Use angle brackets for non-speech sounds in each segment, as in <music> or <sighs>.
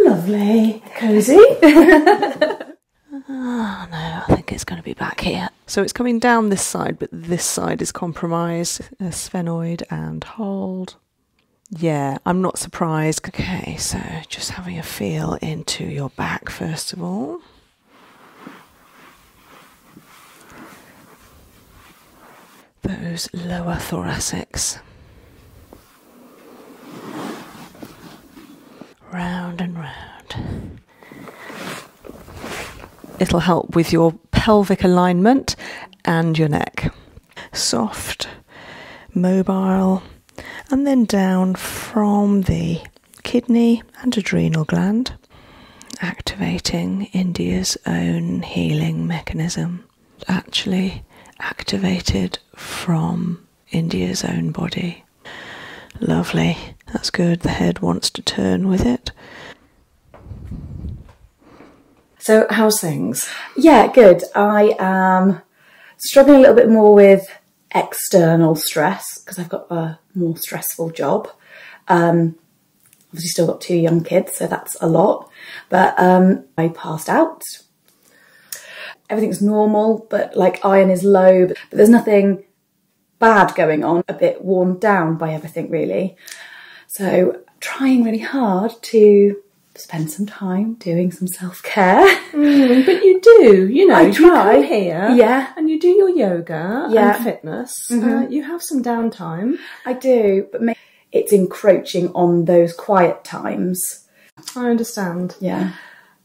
Lovely. Cozy. <laughs> Ah, no, I think it's going to be back here. So it's coming down this side, but this side is compromised. sphenoid and hold. Yeah, I'm not surprised. Okay, so just having a feel into your back first of all. Those lower thoracics. Round and round. It'll help with your pelvic alignment and your neck. Soft, mobile, and then down from the kidney and adrenal gland, activating India's own healing mechanism actually activated from India's own body. Lovely, that's good. The head wants to turn with it. So, how's things? Yeah, good. I am struggling a little bit more with external stress because I've got a more stressful job. Um, obviously, still got two young kids, so that's a lot. But um, I passed out Everything's normal, but like iron is low, but there's nothing bad going on, a bit worn down by everything really. So trying really hard to spend some time doing some self care. Mm, but you do, you know, I try. here, yeah, and you do your yoga yeah. fitness. Uh, mm-hmm. you have some downtime. I do, but it's encroaching on those quiet times I understand. Yeah.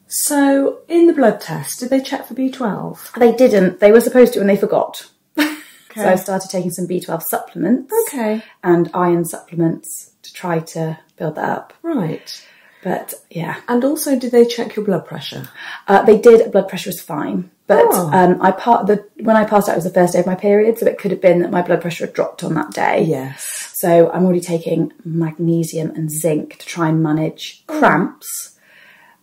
So, in the blood test, did they check for B12? They didn't. They were supposed to, and they forgot. <laughs> So I started taking some B12 supplements. Okay. And iron supplements to try to build that up. Right. But yeah. And also, did they check your blood pressure? Uh, they did. Blood pressure was fine. But oh. um, I part the when I passed out it was the first day of my period, so it could have been that my blood pressure dropped on that day. Yes. So I'm already taking magnesium and zinc to try and manage cramps.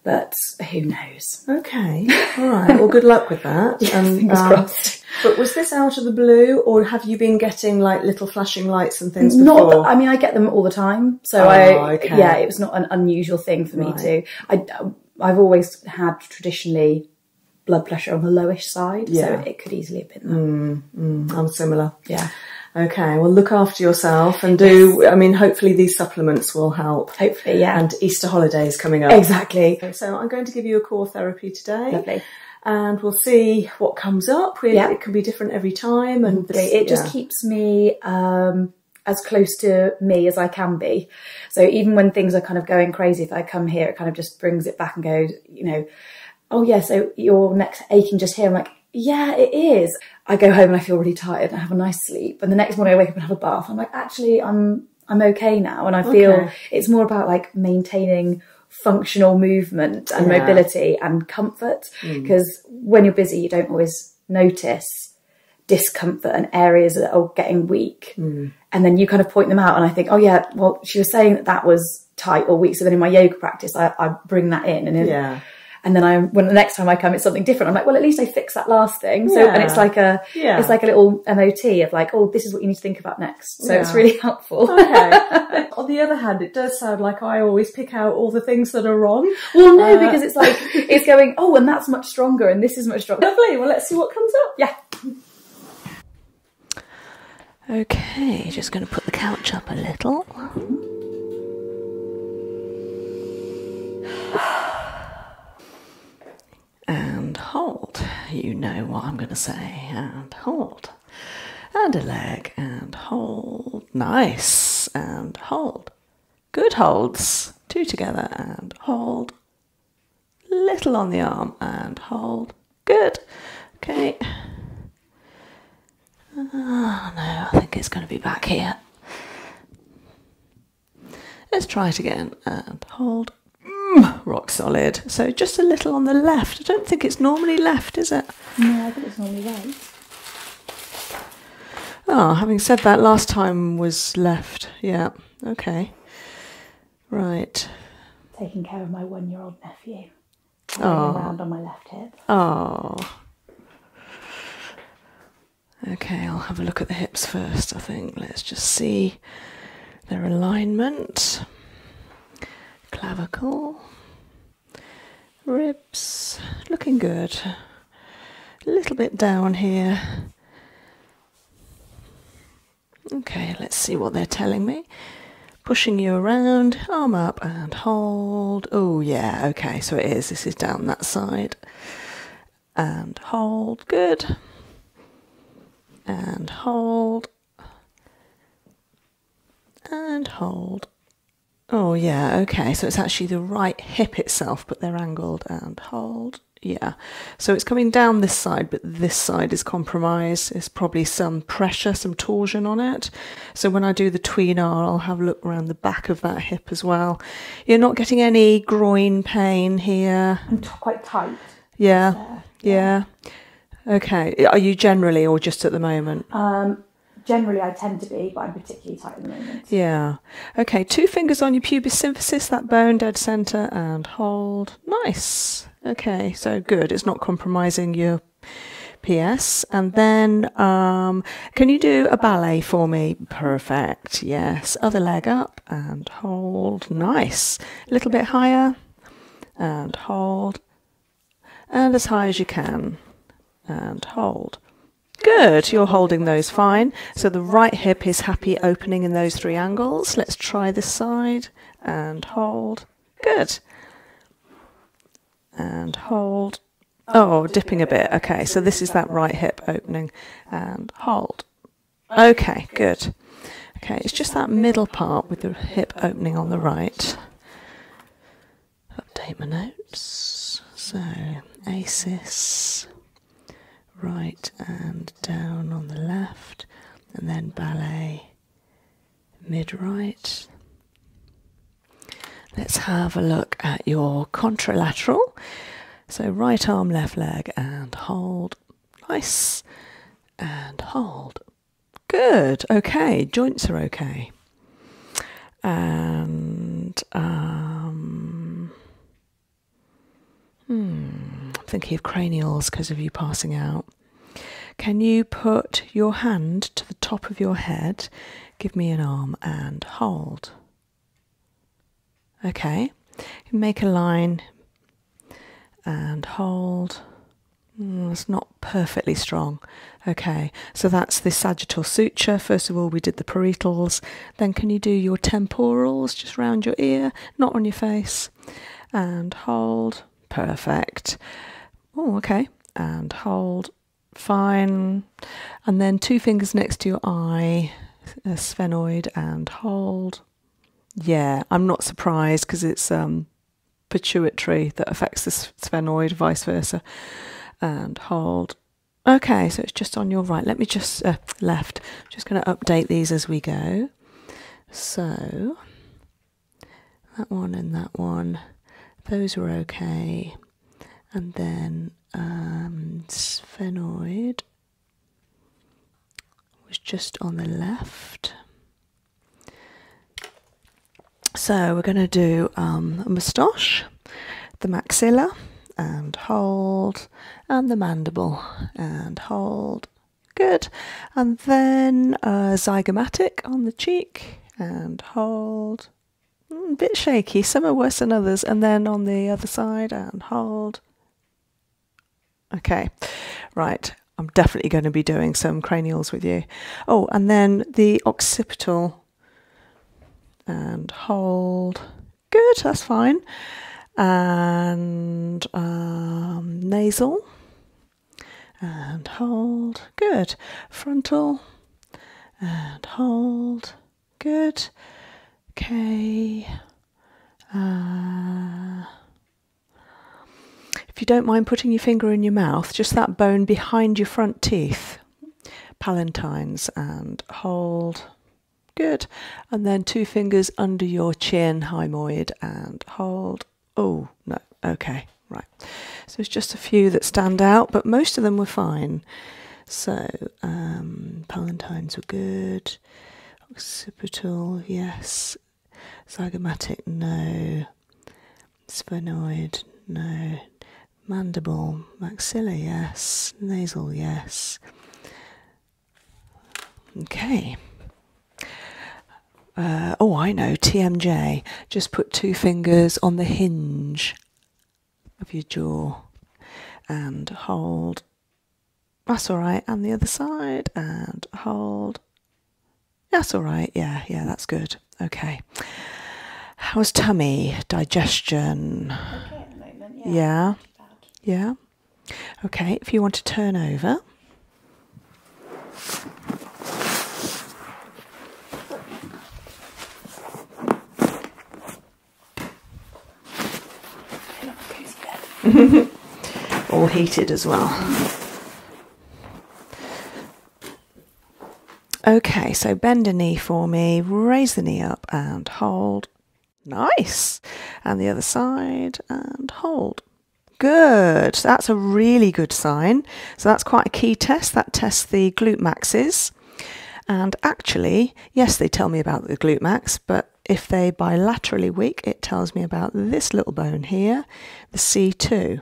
But who knows? Okay. All right. Well, good luck with that. fingers <laughs> crossed. Um, but was this out of the blue, or have you been getting like little flashing lights and things? Not. I mean, I get them all the time. So oh, I, yeah, it was not an unusual thing for me to. I, I've always had traditionally blood pressure on the lowish side, so it could easily have been mm, mm, I'm similar. Yeah. Okay, well, look after yourself and do. I mean, hopefully these supplements will help. Hopefully, yeah. And Easter holidays coming up. Exactly. So I'm going to give you a core therapy today. Lovely. And we'll see what comes up. yeah. It can be different every time, and it just keeps me um, as close to me as I can be. So even when things are kind of going crazy, if I come here, it kind of just brings it back and goes, you know, oh yeah, so your neck's aching just here. I'm like, yeah, it is. I go home and I feel really tired and I have a nice sleep. And the next morning I wake up and have a bath. I'm like, actually, I'm, I'm okay now. And I feel it's more about like maintaining functional movement and mobility and comfort. Because mm. when you're busy, you don't always notice discomfort and areas that are getting weak. Mm. And then you kind of point them out. And I think, oh yeah, well, she was saying that that was tight or weak, So then in my yoga practice, I, bring that in and yeah. And then I, when the next time I come, it's something different. I'm like, well, at least I fixed that last thing. So, and it's like a, yeah. it's like a little MOT of like, oh, this is what you need to think about next. So it's really helpful. <laughs> On the other hand, it does sound like I always pick out all the things that are wrong. Well, no, uh, because it's like, <laughs> it's going, oh, and that's much stronger and this is much stronger. Lovely. Well, let's see what comes up. Yeah. Okay, just going to put the couch up a little. And hold. You know what I'm going to say. And hold. And a leg. And hold. Nice. And hold. Good holds. Two together. And hold. Little on the arm. And hold. Good. Okay. Ah, no, I think it's going to be back here. Let's try it again and hold. Mm, rock solid. So just a little on the left. I don't think it's normally left, is it? No, I think it's normally right. Oh, having said that, last time was left. Yeah. Okay. Right. Taking care of my one year old nephew around on my left hip. Oh. Okay, I'll have a look at the hips first, I think. Let's just see their alignment. Clavicle, ribs, looking good. A little bit down here. Okay, let's see what they're telling me. Pushing you around, arm up and hold. Oh, yeah, okay, so it is. This is down that side. And hold, good. And hold. And hold. Oh, yeah, okay, so it's actually the right hip itself, but they're angled and hold. Yeah, so it's coming down this side, but this side is compromised probably some pressure, some torsion on it. So when I do the tween R, I'll have a look around the back of that hip as well. You're not getting any groin pain here. I'm quite tight. Yeah. yeah. yeah. Okay. Are you generally or just at the moment? Um, generally I tend to be, but I'm particularly tight at the moment. Yeah. Okay, two fingers on your pubis symphysis, that bone dead centre, and hold. Nice. Okay, so good. It's not compromising your PS. And then, um, can you do a ballet for me? Perfect. Yes. Other leg up and hold. Nice. A little bit higher and hold. And as high as you can and hold. Good, you're holding those fine. So the right hip is happy opening in those three angles. Let's try this side and hold Good. And hold. Oh, oh dipping a bit. Okay, so this is that right hip opening. And hold. Okay, good. Okay, it's just that middle part with the hip opening on the right. Update my notes. So, ACES, right and down on the left, and then ballet mid right. Let's have a look at your contralateral. So right arm, left leg, and hold. Nice. And hold. Good. Okay. Joints are okay. And um, hmm, I'm thinking of cranials because of you passing out. Can you put your hand to the top of your head? Give me an arm and hold. Okay, make a line and hold. it's mm, not perfectly strong. Okay, so that's the sagittal suture. First of all, we did the parietals. Then, can you do your temporals just round your ear, not on your face? And hold perfect. Oh, okay. And hold, fine. And then two fingers next to your eye, a sphenoid, and hold. Yeah, I'm not surprised because it's um, pituitary that affects the sphenoid, vice versa. And hold. Okay, so it's just on your right. Let me just, uh, left. Just going to update these as we go. So that one and that one. Those were okay. And then um, sphenoid was just on the left. So we're going to do um, moustache, the maxilla, and hold, and the mandible, and hold, Good. And then uh, zygomatic on the cheek and hold. a hmm, bit shaky, some are worse than others. And then on the other side and hold. Okay, right. I'm definitely going to be doing some cranials with you. Oh, and then the occipital and hold. Good, that's fine. And um, nasal and hold. Good. Frontal and hold. Good. Okay. Uh, if you don't mind putting your finger in your mouth, just that bone behind your front teeth, palatines, and hold. Good. And then two fingers under your chin, hyoid, and hold. Oh, no, okay, right. So it's just a few that stand out, but most of them were fine. So, um, Palantines were good, occipital, yes, zygomatic, no, sphenoid, no, mandible, maxilla, yes, nasal, yes. Okay, uh, oh, I know, TMJ. Just put two fingers on the hinge of your jaw and hold. That's all right. And the other side and hold. That's all right. Yeah, yeah, that's good. Okay. How's tummy, digestion? Yeah. Yeah. Okay, if you want to turn over. <laughs> All heated as well. Okay, so bend a knee for me, raise the knee up and hold. Nice. And the other side and hold. Good, that's a really good sign. So that's quite a key test. That tests the glute maxes. And actually, yes, they tell me about the glute max, but if they bilaterally weak, it tells me about this little bone here, the C2.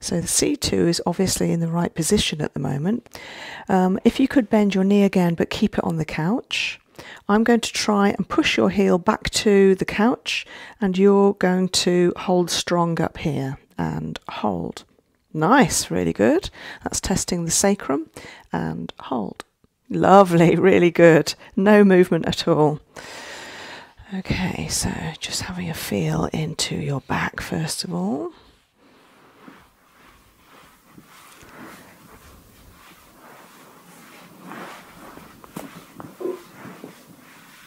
So the C2 is obviously in the right position at the moment. Um, if you could bend your knee again, but keep it on the couch. I'm going to try and push your heel back to the couch and you're going to hold strong up here and hold. Nice, really good. That's testing the sacrum and hold. Lovely, <laughs> really good. No movement at all. Okay, so just having a feel into your back first of all.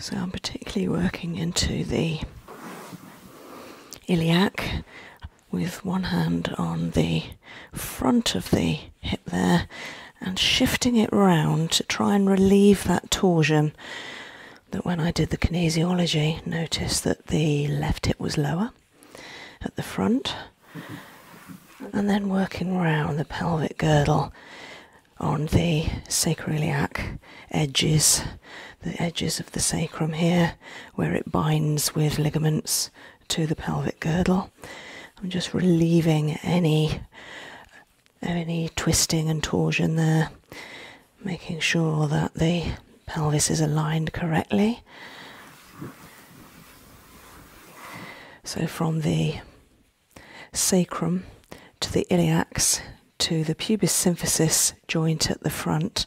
So I'm particularly working into the iliac with one hand on the front of the hip there and shifting it round to try and relieve that torsion that when I did the kinesiology, noticed that the left hip was lower at the front, and then working round the pelvic girdle on the sacroiliac edges, the edges of the sacrum here, where it binds with ligaments to the pelvic girdle. I'm just relieving any any twisting and torsion there, making sure that the pelvis is aligned correctly. So, from the sacrum to the iliacs to the pubis symphysis joint at the front,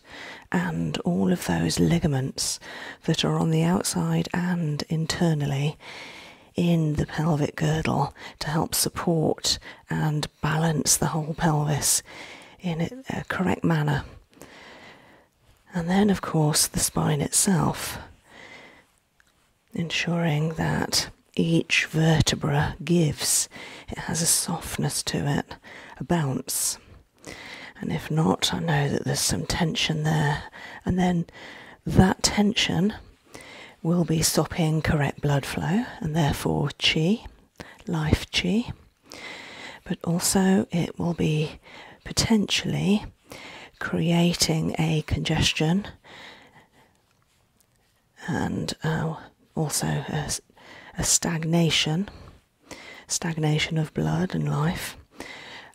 and all of those ligaments that are on the outside and internally in the pelvic girdle to help support and balance the whole pelvis in a correct manner. And then, of course, the spine itself, ensuring that each vertebra gives, it has a softness to it, a bounce. And if not, I know that there's some tension there. And then that tension will be stopping correct blood flow and therefore chi, life chi, but also it will be potentially creating a congestion and uh, also a, a stagnation, stagnation of blood and life.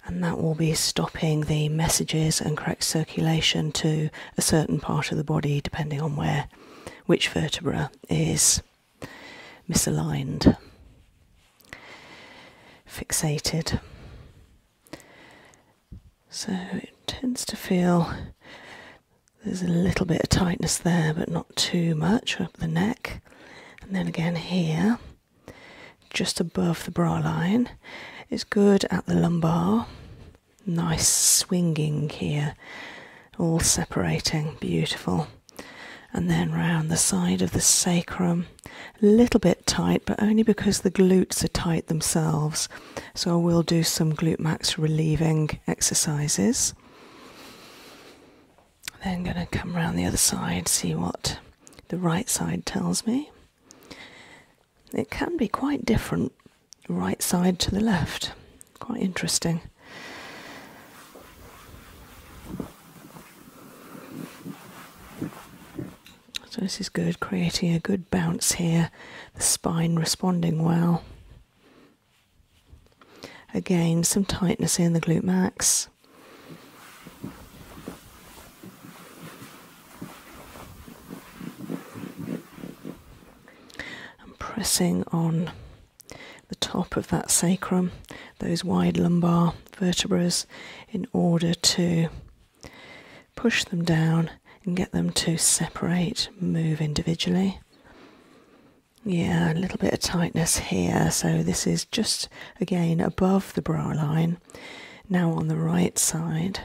And that will be stopping the messages and correct circulation to a certain part of the body, depending on where which vertebra is misaligned, fixated. So it tends to feel there's a little bit of tightness there, but not too much up the neck, and then again here, just above the bra line, is good at the lumbar. Nice swinging here, all separating, beautiful. And then round the side of the sacrum, a little bit tight, but only because the glutes are tight themselves. So we will do some glute max relieving exercises. Then going to come round the other side, see what the right side tells me. It can be quite different, right side to the left. Quite interesting. So, this is good, creating a good bounce here, the spine responding well. Again, some tightness in the glute max and pressing on the top of that sacrum, those wide lumbar vertebrae, in order to push them down and get them to separate, move individually. Yeah, a little bit of tightness here. So this is just again above the brow line, now on the right side.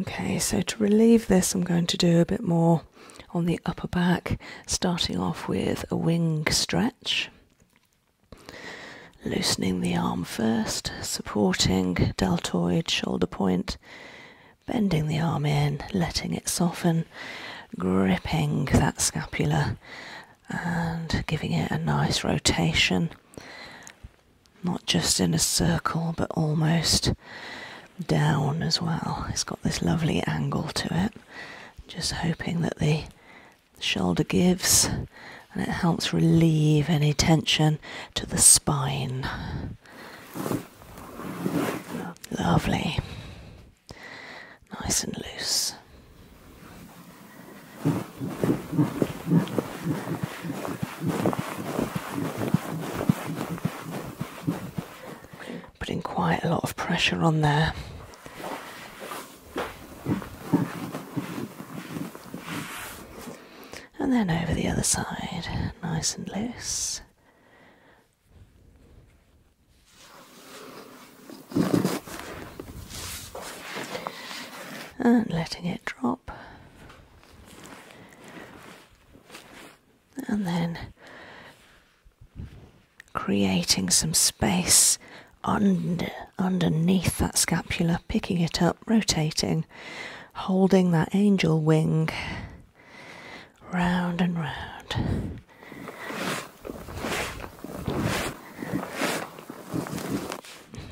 Okay, so to relieve this, I'm going to do a bit more on the upper back, starting off with a wing stretch. Loosening the arm first, supporting deltoid shoulder point, bending the arm in, letting it soften, gripping that scapula and giving it a nice rotation, not just in a circle but almost down as well. It's got this lovely angle to it. Just hoping that the the shoulder gives and it helps relieve any tension to the spine. Lovely. Nice and loose. Putting quite a lot of pressure on there. And then over the other side, nice and loose. And letting it drop. And then creating some space under underneath that scapula, picking it up, rotating, holding that angel wing round and round.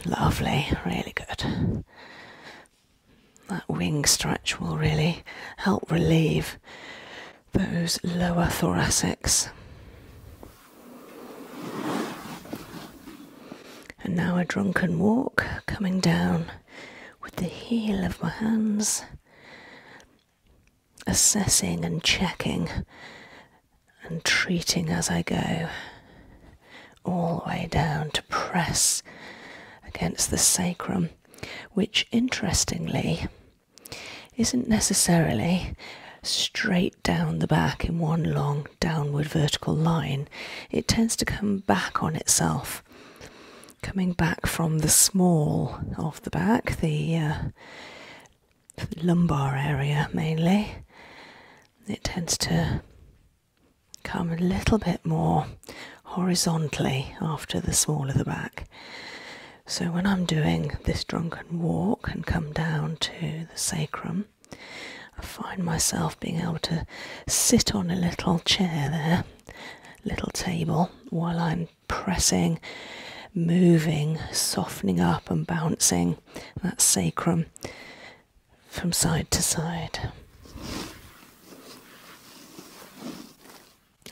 Lovely, really good. That wing stretch will really help relieve those lower thoracics. And now a drunken walk coming down with the heel of my hands, assessing and checking and treating as I go, all the way down to press against the sacrum, which interestingly isn't necessarily straight down the back in one long downward vertical line, it tends to come back on itself. Coming back from the small of the back, the uh, lumbar area mainly, it tends to come a little bit more horizontally after the small of the back. So when I'm doing this drunken walk and come down to the sacrum, I find myself being able to sit on a little chair there, little table, while I'm pressing, moving, softening up, and bouncing that sacrum from side to side.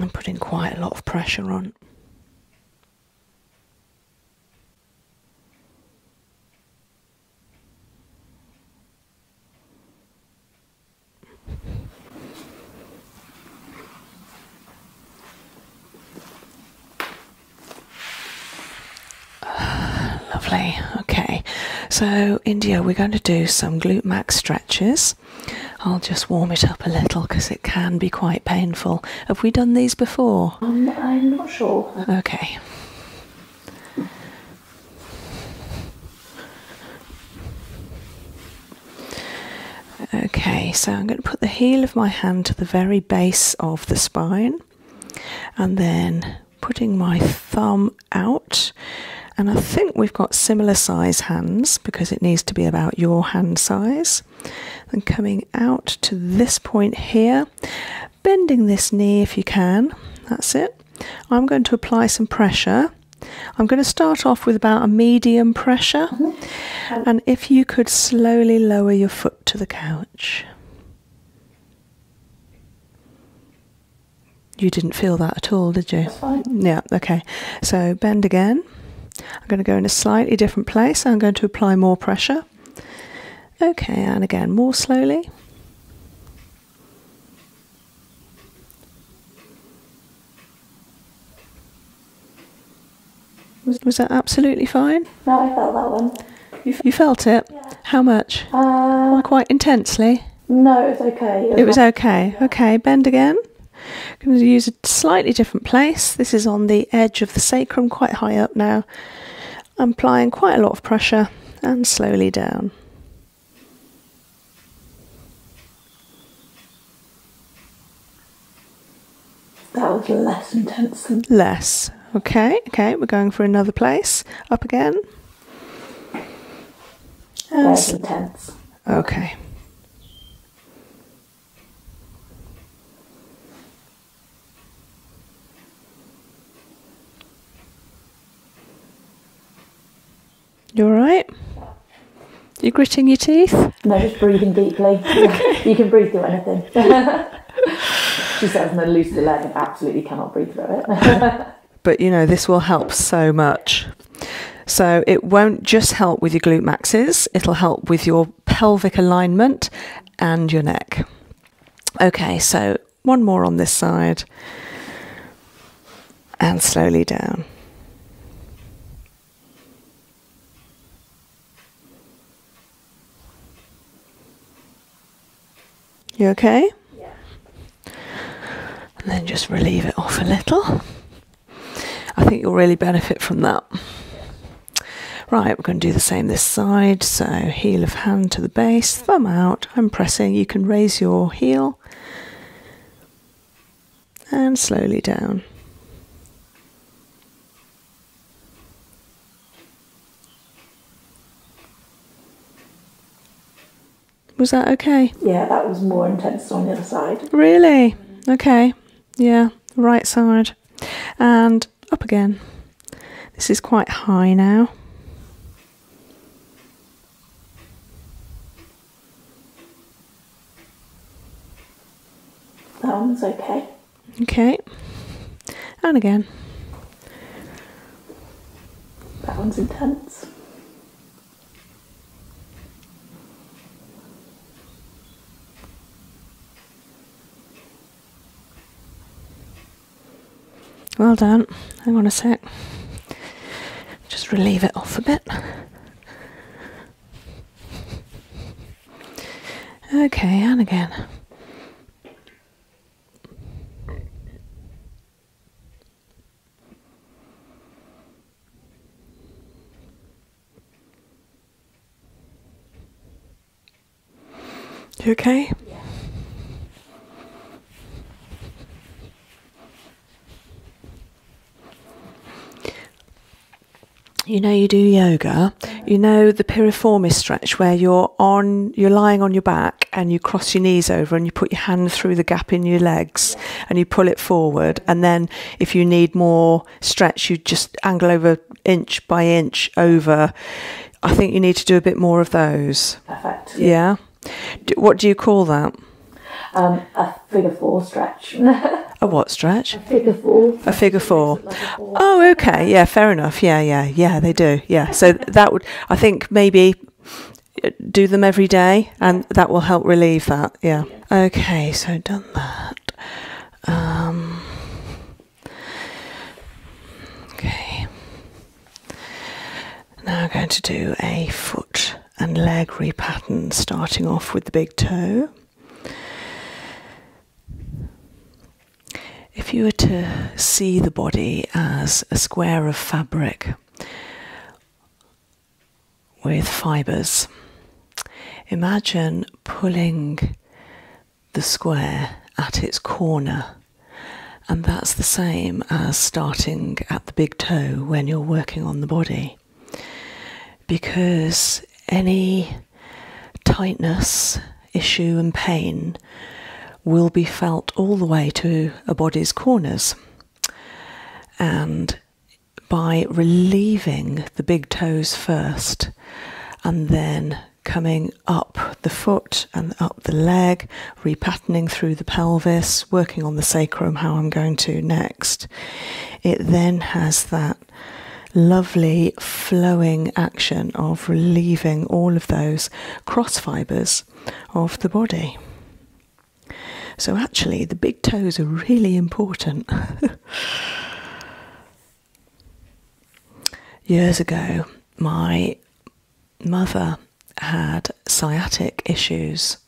I'm putting quite a lot of pressure on. <sighs> lovely. Okay, so India, we're going to do some glute max stretches. I'll just warm it up a little because it can be quite painful. Have we done these before? Um, I'm not sure. Okay. Okay, so I'm going to put the heel of my hand to the very base of the spine and then putting my thumb out. And I think we've got similar size hands because it needs to be about your hand size. And coming out to this point here bending this knee if you can. That's it. I'm going to apply some pressure. I'm going to start off with about a medium pressure. Mm-hmm. And if you could slowly lower your foot to the couch. You didn't feel that at all, did you? Yeah, okay. So bend again. I'm going to go in a slightly different place. I'm going to apply more pressure. Okay, and again, more slowly. Was, that absolutely fine? No, I felt that one. You, felt it? How much? Uh, quite intensely? No, it was okay. It was, okay. Okay, bend again. I'm going to use a slightly different place. This is on the edge of the sacrum, quite high up now. I'm applying quite a lot of pressure and slowly down. That was less intense than less. Okay, okay, we're going for another place. Up again. Less intense. Okay. You all right? You gritting your teeth? No, just breathing deeply. <laughs> You can breathe through anything. <laughs> she says an elusive leg and absolutely cannot breathe through it. <laughs> but you know, this will help so much. So it won't just help with your glute maxes, it'll help with your pelvic alignment and your neck. Okay, so one more on this side and slowly down. You okay? Yeah. And then just relieve it off a little. I think you'll really benefit from that. Right, we're going to do the same this side. So heel of hand to the base, thumb out. I'm pressing. You can raise your heel and slowly down. Was that okay? Yeah, that was more intense on the other side. Really? Okay. Yeah, right side. And up again. This is quite high now. That one's okay. Okay. And again. That one's intense. Well done. I want a sec. Just relieve it off a bit. Okay, and again. You okay? You know you do yoga. You know the piriformis stretch where you're on you're lying on your back and you cross your knees over and you put your hand through the gap in your legs and you pull it forward and then if you need more stretch you just angle over inch by inch over I think you need to do a bit more of those. Perfect. Yeah. what do you call that? Um, a figure four stretch. <laughs> a what stretch? A figure four. A figure four. Oh, okay. Yeah, fair enough. Yeah, yeah, yeah. They do. Yeah. So that would, I think, maybe uh, do them every day, and that will help relieve that. Yeah. Okay. So done that. Um, Okay. Now I'm going to do a foot and leg repattern, starting off with the big toe. If you were to see the body as a square of fabric with fibres, imagine pulling the square at its corner. And that's the same as starting at the big toe when you're working on the body. Because any tightness, issue, and pain will be felt all the way to a body's corners. And by relieving the big toes first and then coming up the foot and up the leg, repatterning through the pelvis, working on the sacrum, how I'm going to next. It then has that lovely flowing action of relieving all of those cross fibres of the body. So, actually, the big toes are really important. <laughs> Years ago, my mother had sciatic issues,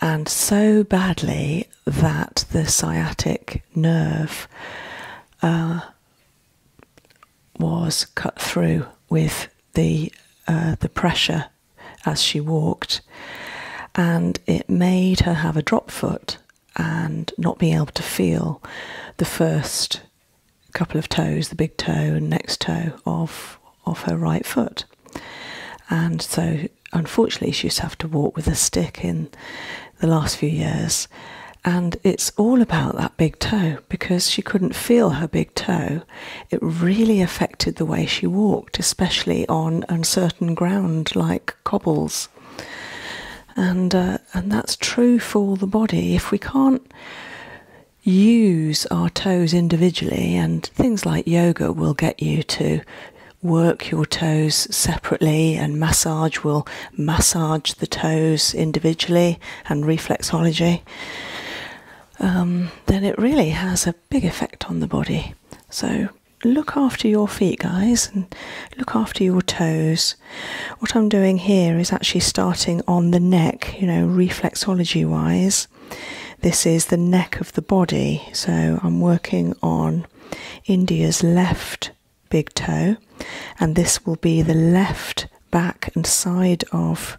and so badly that the sciatic nerve uh, was cut through with the uh, the pressure as she walked, and it made her have a drop foot and not being able to feel the first couple of toes, the big toe and next toe of of her right foot. And so unfortunately she used to to walk with a stick in the last few years. And it's all about that big toe because she couldn't feel her big toe. It really affected the way she walked, especially on uncertain ground like cobbles. And uh, and that's true for the body. If we can't use our toes individually, and things like yoga will get you to work your toes separately, and massage will massage the toes individually, and reflexology, um, then it really has a big effect on the body. So, look after your feet, guys, and look after your toes. What I'm doing here is actually starting on the neck, you know, reflexology wise. This is the neck of the body, so I'm working on India's left big toe, and this will be the left back and side of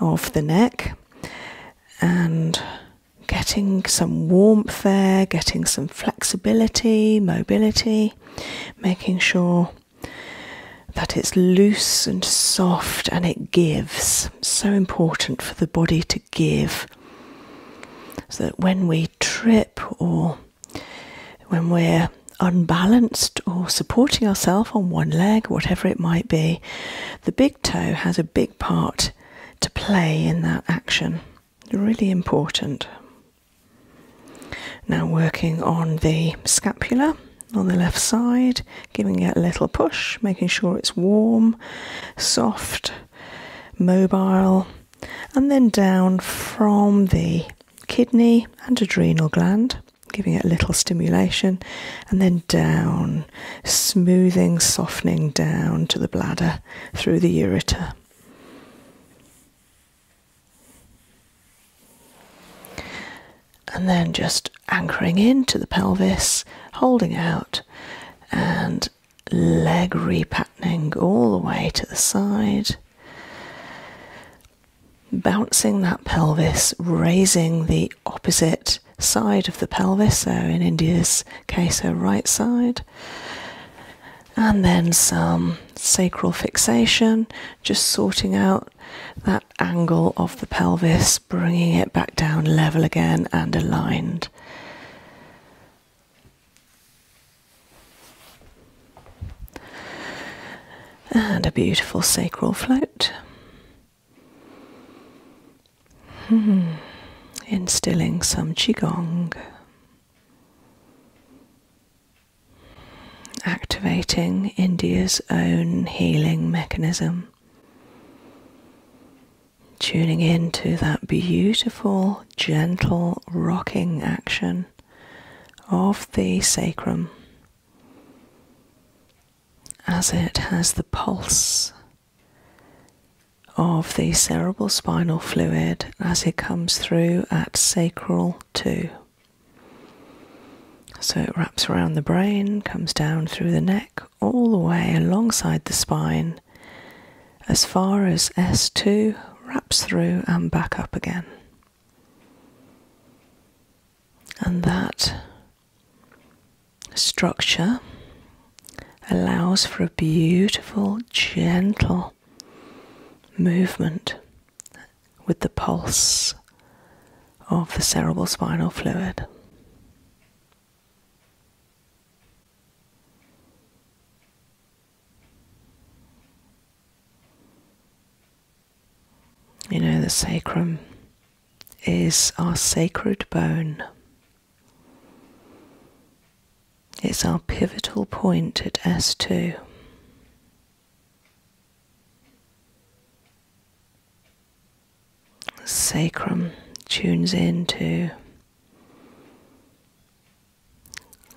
of the neck and getting some warmth there, getting some flexibility, mobility making sure that it's loose and soft and it gives. So important for the body to give. So that when we trip or when we're unbalanced or supporting ourselves on one leg, whatever it might be, the big toe has a big part to play in that action. Really important. Now working on the scapula on the left side, giving it a little push, making sure it's warm, soft, mobile, and then down from the kidney and adrenal gland, giving it a little stimulation, and then down, smoothing, softening down to the bladder through the ureter. And then just anchoring into the pelvis, holding out, and leg repatterning all the way to the side. Bouncing that pelvis, raising the opposite side of the pelvis, so in India's case, her right side, and then some sacral fixation, just sorting out that angle of the pelvis, bringing it back down level again and aligned. And a beautiful sacral float. Hmm, instilling some Qigong activating India's own healing mechanism. Tuning into that beautiful, gentle rocking action of the sacrum as it has the pulse of the cerebral spinal fluid as it comes through at sacral two. So it wraps around the brain, comes down through the neck, all the way alongside the spine, as far as S2, wraps through and back up again. And that structure allows for a beautiful, gentle movement with the pulse of the cerebral spinal fluid. You know, the sacrum is our sacred bone. It's our pivotal point at S2. The sacrum tunes into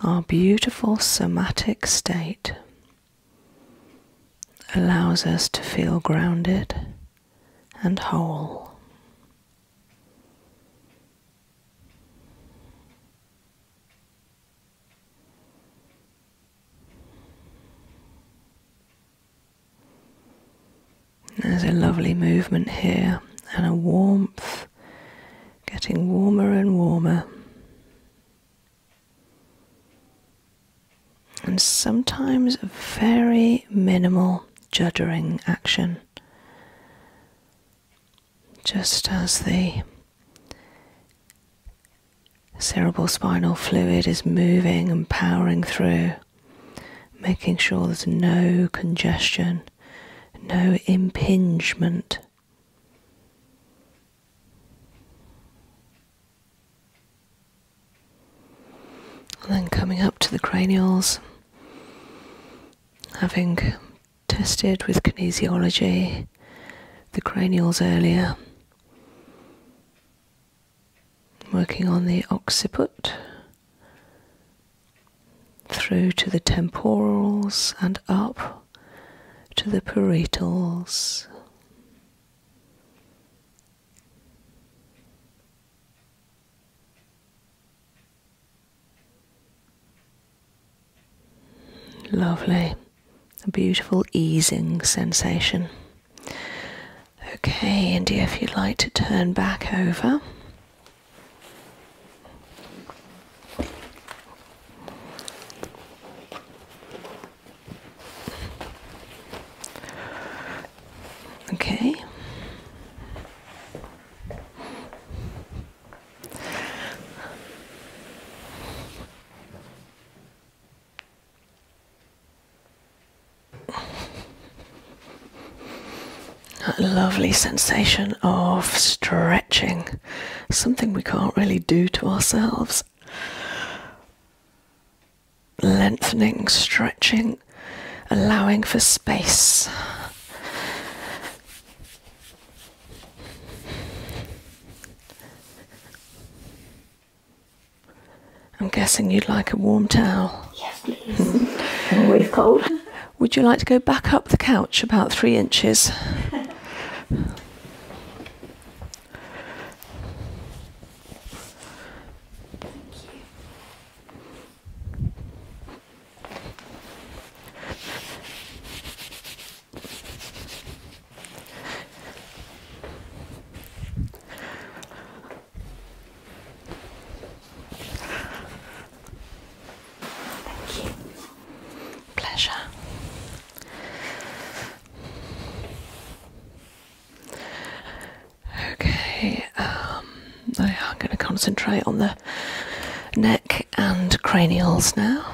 our beautiful somatic state allows us to feel grounded and whole. There's a lovely movement here and a warmth getting warmer and warmer. And sometimes very minimal juddering action just as the cerebral spinal fluid is moving and powering through, making sure there's no congestion, no impingement. And then coming up to the cranials, having tested with kinesiology, the cranials earlier, working on the occiput through to the temporals and up to the parietals. Lovely. A beautiful easing sensation. Okay, India, if you'd like to turn back over. Okay. That lovely sensation of stretching, something we can't really do to ourselves. Lengthening, stretching, allowing for space. I'm guessing you'd like a warm towel. Yes, please. Always cold. Would you like to go back up the couch about three inches? Thank you. Pleasure. Okay, um, I'm going to concentrate on the neck and cranials now.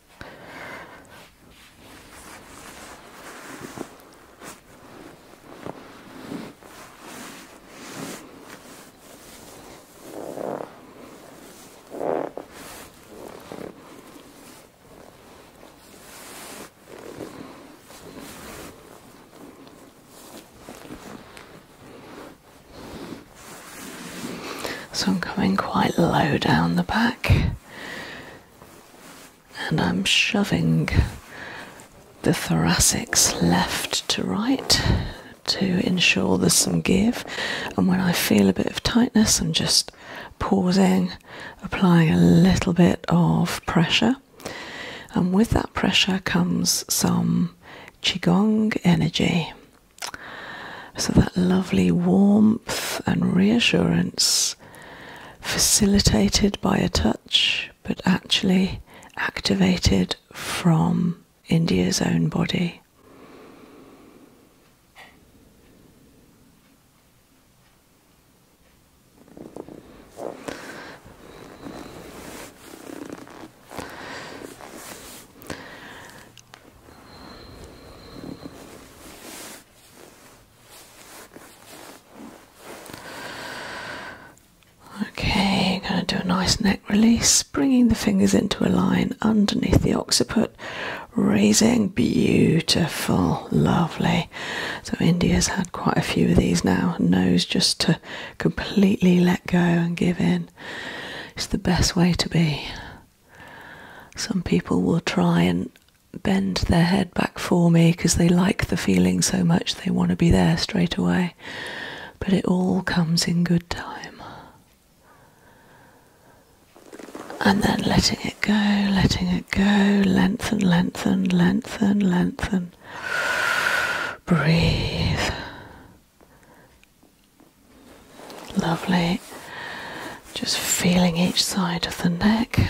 So I'm coming quite low down the back and I'm shoving the thoracics left to right to ensure there's some give. And when I feel a bit of tightness, I'm just pausing, applying a little bit of pressure. And with that pressure comes some Qigong energy. So that lovely warmth and reassurance facilitated by a touch but actually activated from India's own body. Okay, going to do a nice neck release, bringing the fingers into a line underneath the occiput, raising. Beautiful, lovely. So, India's had quite a few of these now. Knows just to completely let go and give in. It's the best way to be. Some people will try and bend their head back for me because they like the feeling so much they want to be there straight away. But it all comes in good time. And then letting it go, letting it go, lengthen, lengthen, lengthen, lengthen. Breathe. Lovely. Just feeling each side of the neck.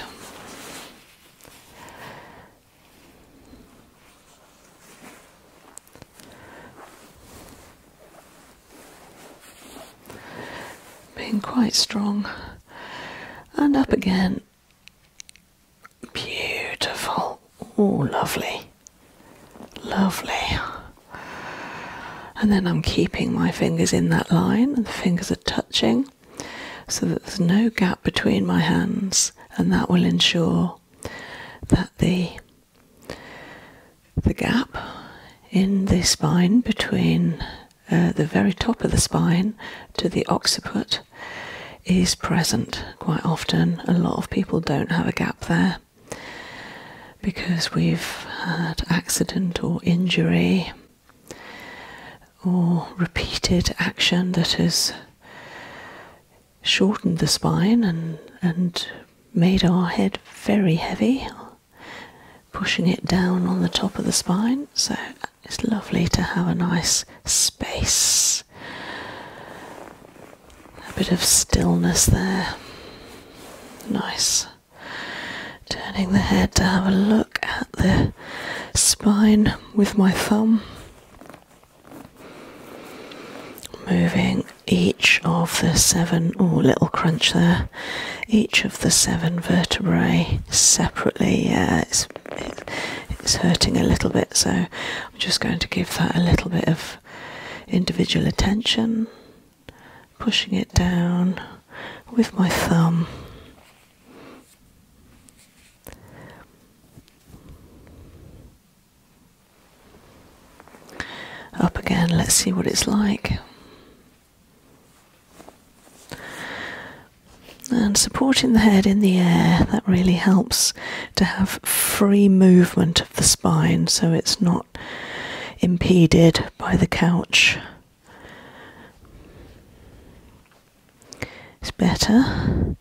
Being quite strong. And up again. Beautiful. Oh, lovely. Lovely and then I'm keeping my fingers in that line, and the fingers are touching so that there's no gap between my hands, and that will ensure that the the gap in the spine between uh, the very top of the spine to the occiput is present quite often. A lot of people don't have a gap there because we've had accident or injury or repeated action that has shortened the spine and, and made our head very heavy, pushing it down on the top of the spine. So it's lovely to have a nice space, a bit of stillness there. Nice turning the head to have a look at the spine with my thumb, moving each of the seven, oh, little crunch there, each of the seven vertebrae separately. Yeah, it's, it's hurting a little bit, so I'm just going to give that a little bit of individual attention pushing it down with my thumb. Up again, let's see what it's like. And supporting the head in the air, that really helps to have free movement of the spine so it's not impeded by the couch. It's better.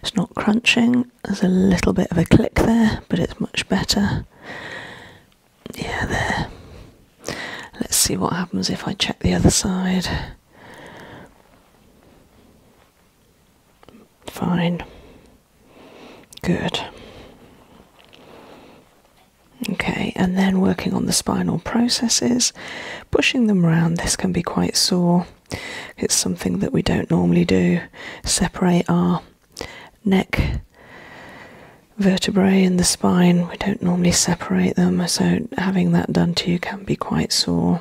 It's not crunching. There's a little bit of a click there, but it's much better. Yeah, there. Let's see what happens if I check the other side. Fine. Good. Okay, and then working on the spinal processes, pushing them around. This can be quite sore. It's something that we don't normally do. Separate our neck vertebrae in the spine. We don't normally separate them, so having that done to you can be quite sore.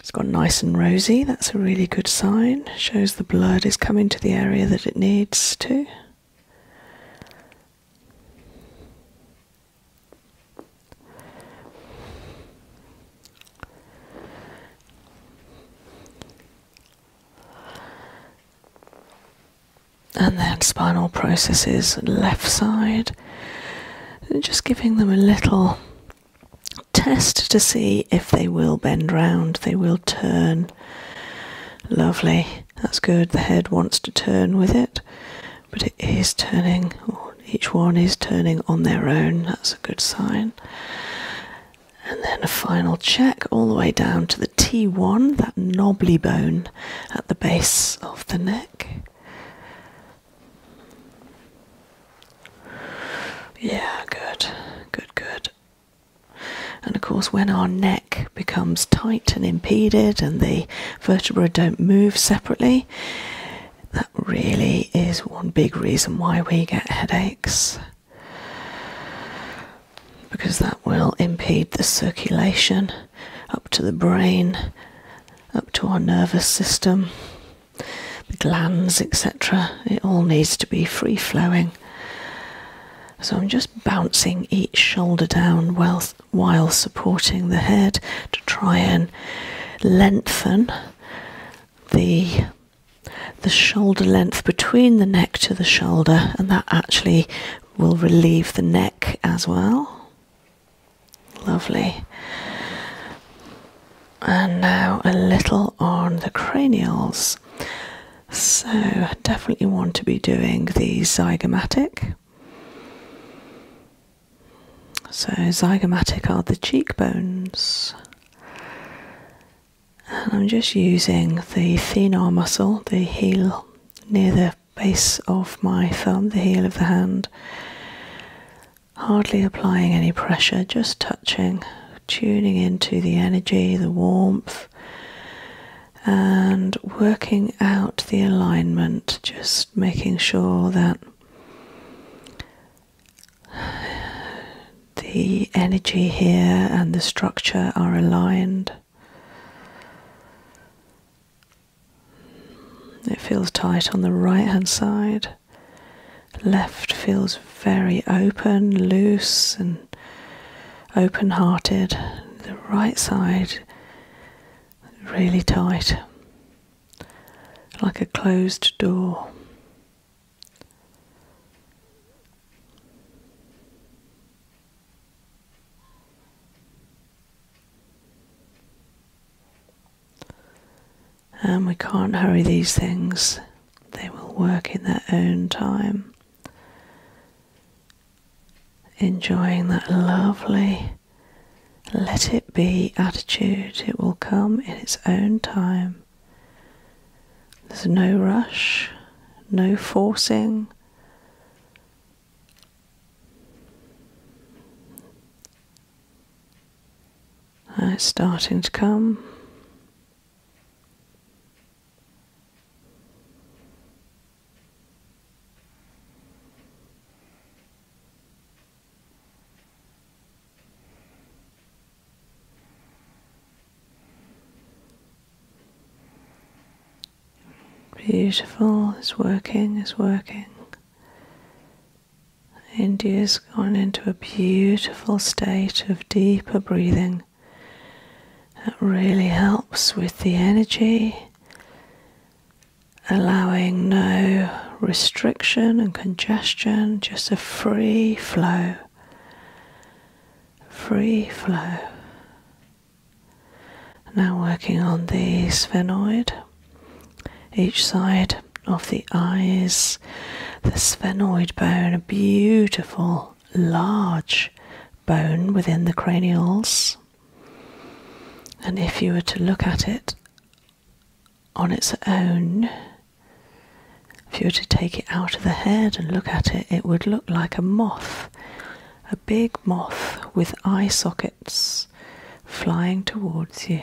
It's got nice and rosy. That's a really good sign. Shows the blood is coming to the area that it needs to. And then spinal processes left side, just giving them a little test to see if they will bend round, they will turn, Lovely, that's good. The head wants to turn with it, but it is turning, each one is turning on their own. That's a good sign. And then a final check all the way down to the T1, that knobbly bone at the base of the neck. Yeah, good, good, good. And of course, when our neck becomes tight and impeded and the vertebrae don't move separately, that really is one big reason why we get headaches because that will impede the circulation up to the brain, up to our nervous system, the glands, etc. It all needs to be free flowing. So I'm just bouncing each shoulder down while supporting the head to try and lengthen the the shoulder length between the neck to the shoulder and that actually will relieve the neck as well. Lovely. And now a little on the cranials. So, I definitely want to be doing the zygomatic. So, zygomatic are the cheekbones. And I'm just using the thenar muscle, the heel near the base of my thumb, the heel of the hand. Hardly applying any pressure, just touching, tuning into the energy, the warmth and working out the alignment, just making sure that the energy here and the structure are aligned. It feels tight on the right hand side. Left feels very open, loose, and open, hearted. The right side really tight, like a closed door. And we can't hurry these things, they will work in their own time enjoying that lovely let it be attitude. It will come in its own time. There's no rush, no forcing. it's starting to come. Beautiful, it's working, it's working. India's gone into a beautiful state of deeper breathing. That really helps with the energy, allowing no restriction and congestion, just a free flow. Free flow. Now, working on the sphenoid, each side of the eyes, the sphenoid bone, a beautiful large bone within the cranials. And if you were to look at it on its own, if you were to take it out of the head and look at it, it would look like a moth, a big moth with eye sockets flying towards you.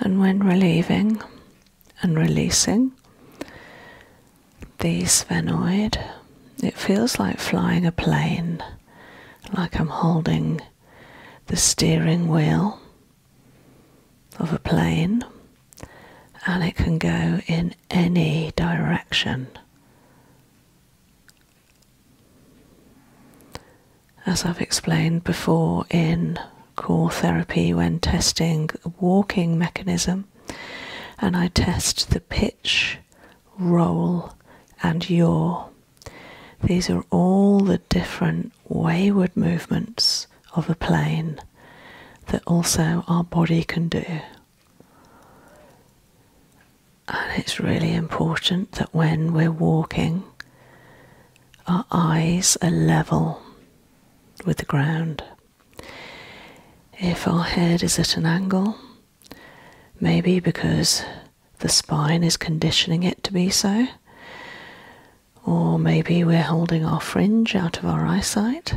And when relieving and releasing the sphenoid, it feels like flying a plane, like I'm holding the steering wheel of a plane and it can go in any direction. As I've explained before in core therapy, when testing a walking mechanism, and I test the pitch, roll, and yaw. These are all the different wayward movements of a plane that also our body can do. And it's really important that when we're walking, our eyes are level with the ground. If our head is at an angle, maybe because the spine is conditioning it to be so, or maybe we're holding our fringe out of our eyesight.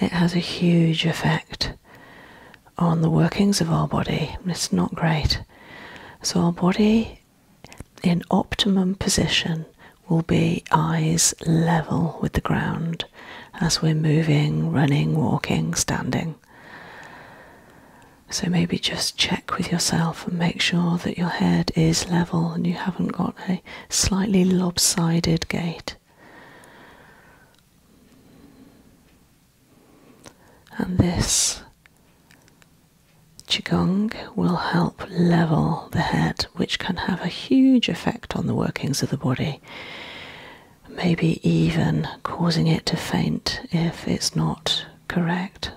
It has a huge effect on the workings of our body. It's not great. So, our body in optimum position will be eyes level with the ground as we're moving, running, walking, standing. So, maybe just check with yourself and make sure that your head is level and you haven't got a slightly lopsided gait. And this Qigong will help level the head, which can have a huge effect on the workings of the body, maybe even causing it to faint if it's not correct.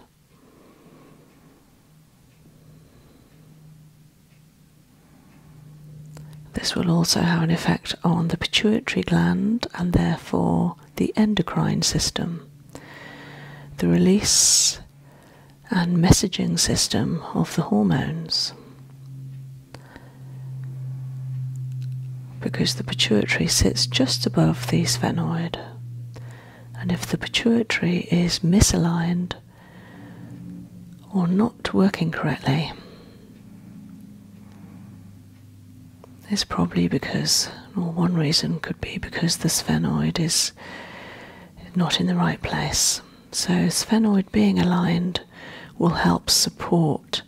This will also have an effect on the pituitary gland and therefore the endocrine system. The release and messaging system of the hormones. Because the pituitary sits just above the sphenoid, and if the pituitary is misaligned or not working correctly, it's probably because, or one reason could be because the sphenoid is not in the right place. So, sphenoid being aligned will help support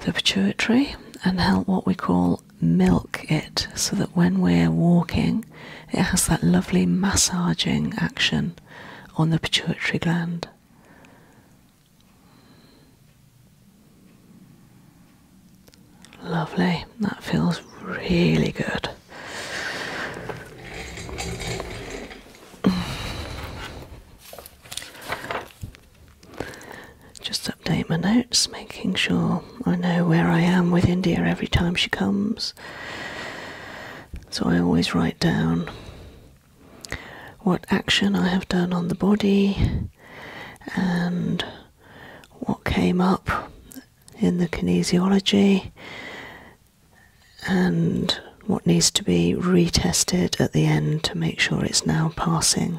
the pituitary and help what we call milk it so that when we're walking, it has that lovely massaging action on the pituitary gland. Lovely, that feels really good. Just update my notes, making sure I know where I am with India every time she comes. So I always write down what action I have done on the body and what came up in the kinesiology and what needs to be retested at the end to make sure it's now passing.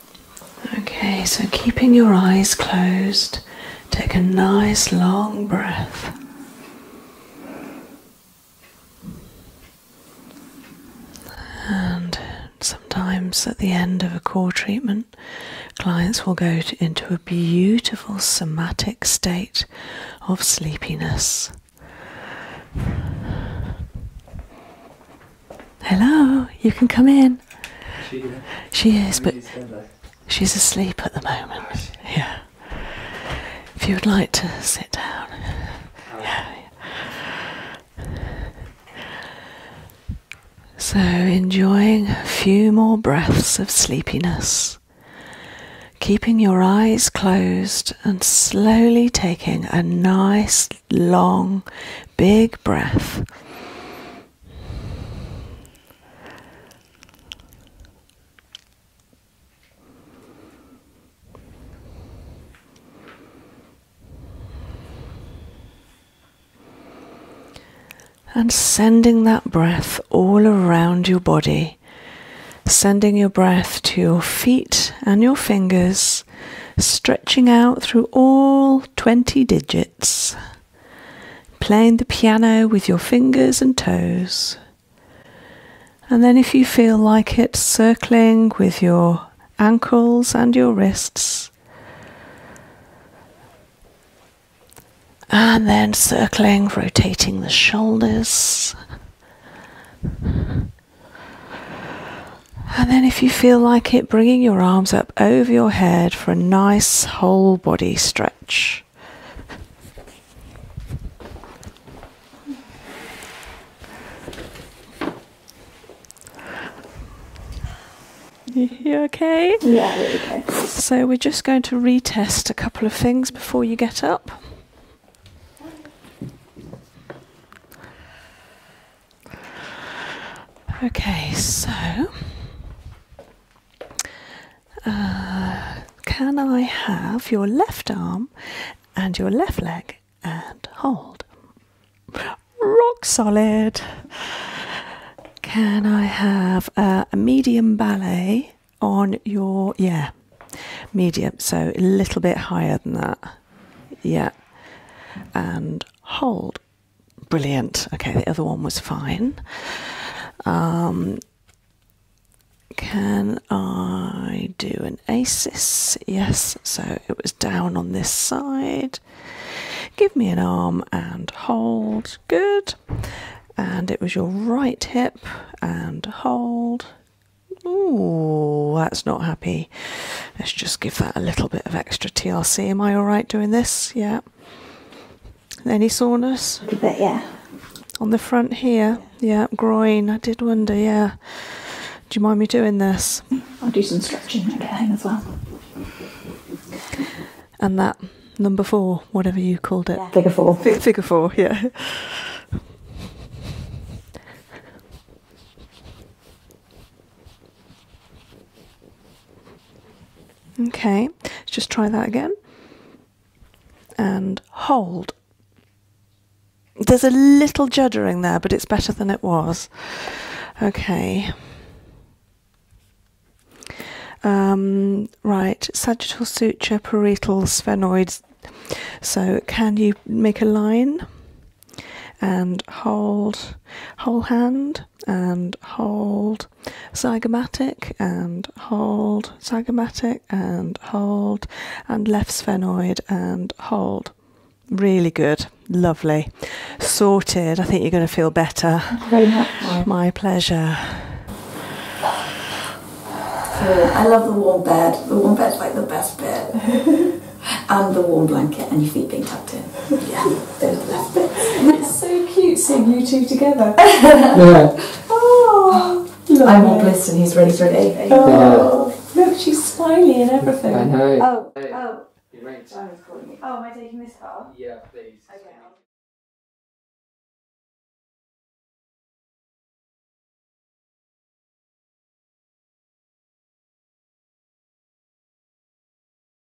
Okay, so keeping your eyes closed, take a nice long breath. And sometimes at the end of a core treatment, clients will go into a beautiful somatic state of sleepiness. Hello, you can come in. She is. She is, but she's asleep at the moment. Oh, yeah. If you would like to sit down. Oh. Yeah. So, enjoying a few more breaths of sleepiness, keeping your eyes closed and slowly taking a nice, long, big breath and sending that breath all around your body, sending your breath to your feet and your fingers, stretching out through all 20 digits playing the piano with your fingers and toes. And then, if you feel like it, circling with your ankles and your wrists. And then circling, rotating the shoulders. And then, if you feel like it, bringing your arms up over your head for a nice whole body stretch. You okay? Yeah, there we So we're just going to retest a couple of things before you get up. Okay, so uh, can I have your left arm and your left leg and hold? Rock solid. Can I have a medium ballet on your, yeah, medium, so a little bit higher than that. Yeah. And hold brilliant. Okay, the other one was fine. Um, can I do an asis? Yes, so it was down on this side. Give me an arm and hold. Good. And it was your right hip and hold. Ooh, that's not happy. Let's just give that a little bit of extra T.R.C. Am I all right doing this? Yeah, any soreness? A bit, yeah. On the front here, yeah, groin. I did wonder, yeah. Do you mind me doing this? I'll do some stretching when get home as well. And that number four, whatever you called it. bigger four. Fig four, yeah. Okay, let's just try that again. And hold. There's a little juddering there, but it's better than it was. Okay. Um, right, sagittal suture, parietal sphenoids. So can you make a line and hold whole hand? and hold zygomatic and hold zygomatic and hold and left sphenoid and hold really good lovely sorted i think you're going to feel better my pleasure i love the warm bed the warm bed's like the best bed <laughs> and the warm blanket and your feet being tucked in yeah, they love it. It's so cute seeing you two together. <laughs> yeah. Oh, I'm bliss and he's ready for an Oh, look, she's smiling and everything. I know. Oh, oh. You're oh, right. Oh, am I taking this Yeah, please. Okay.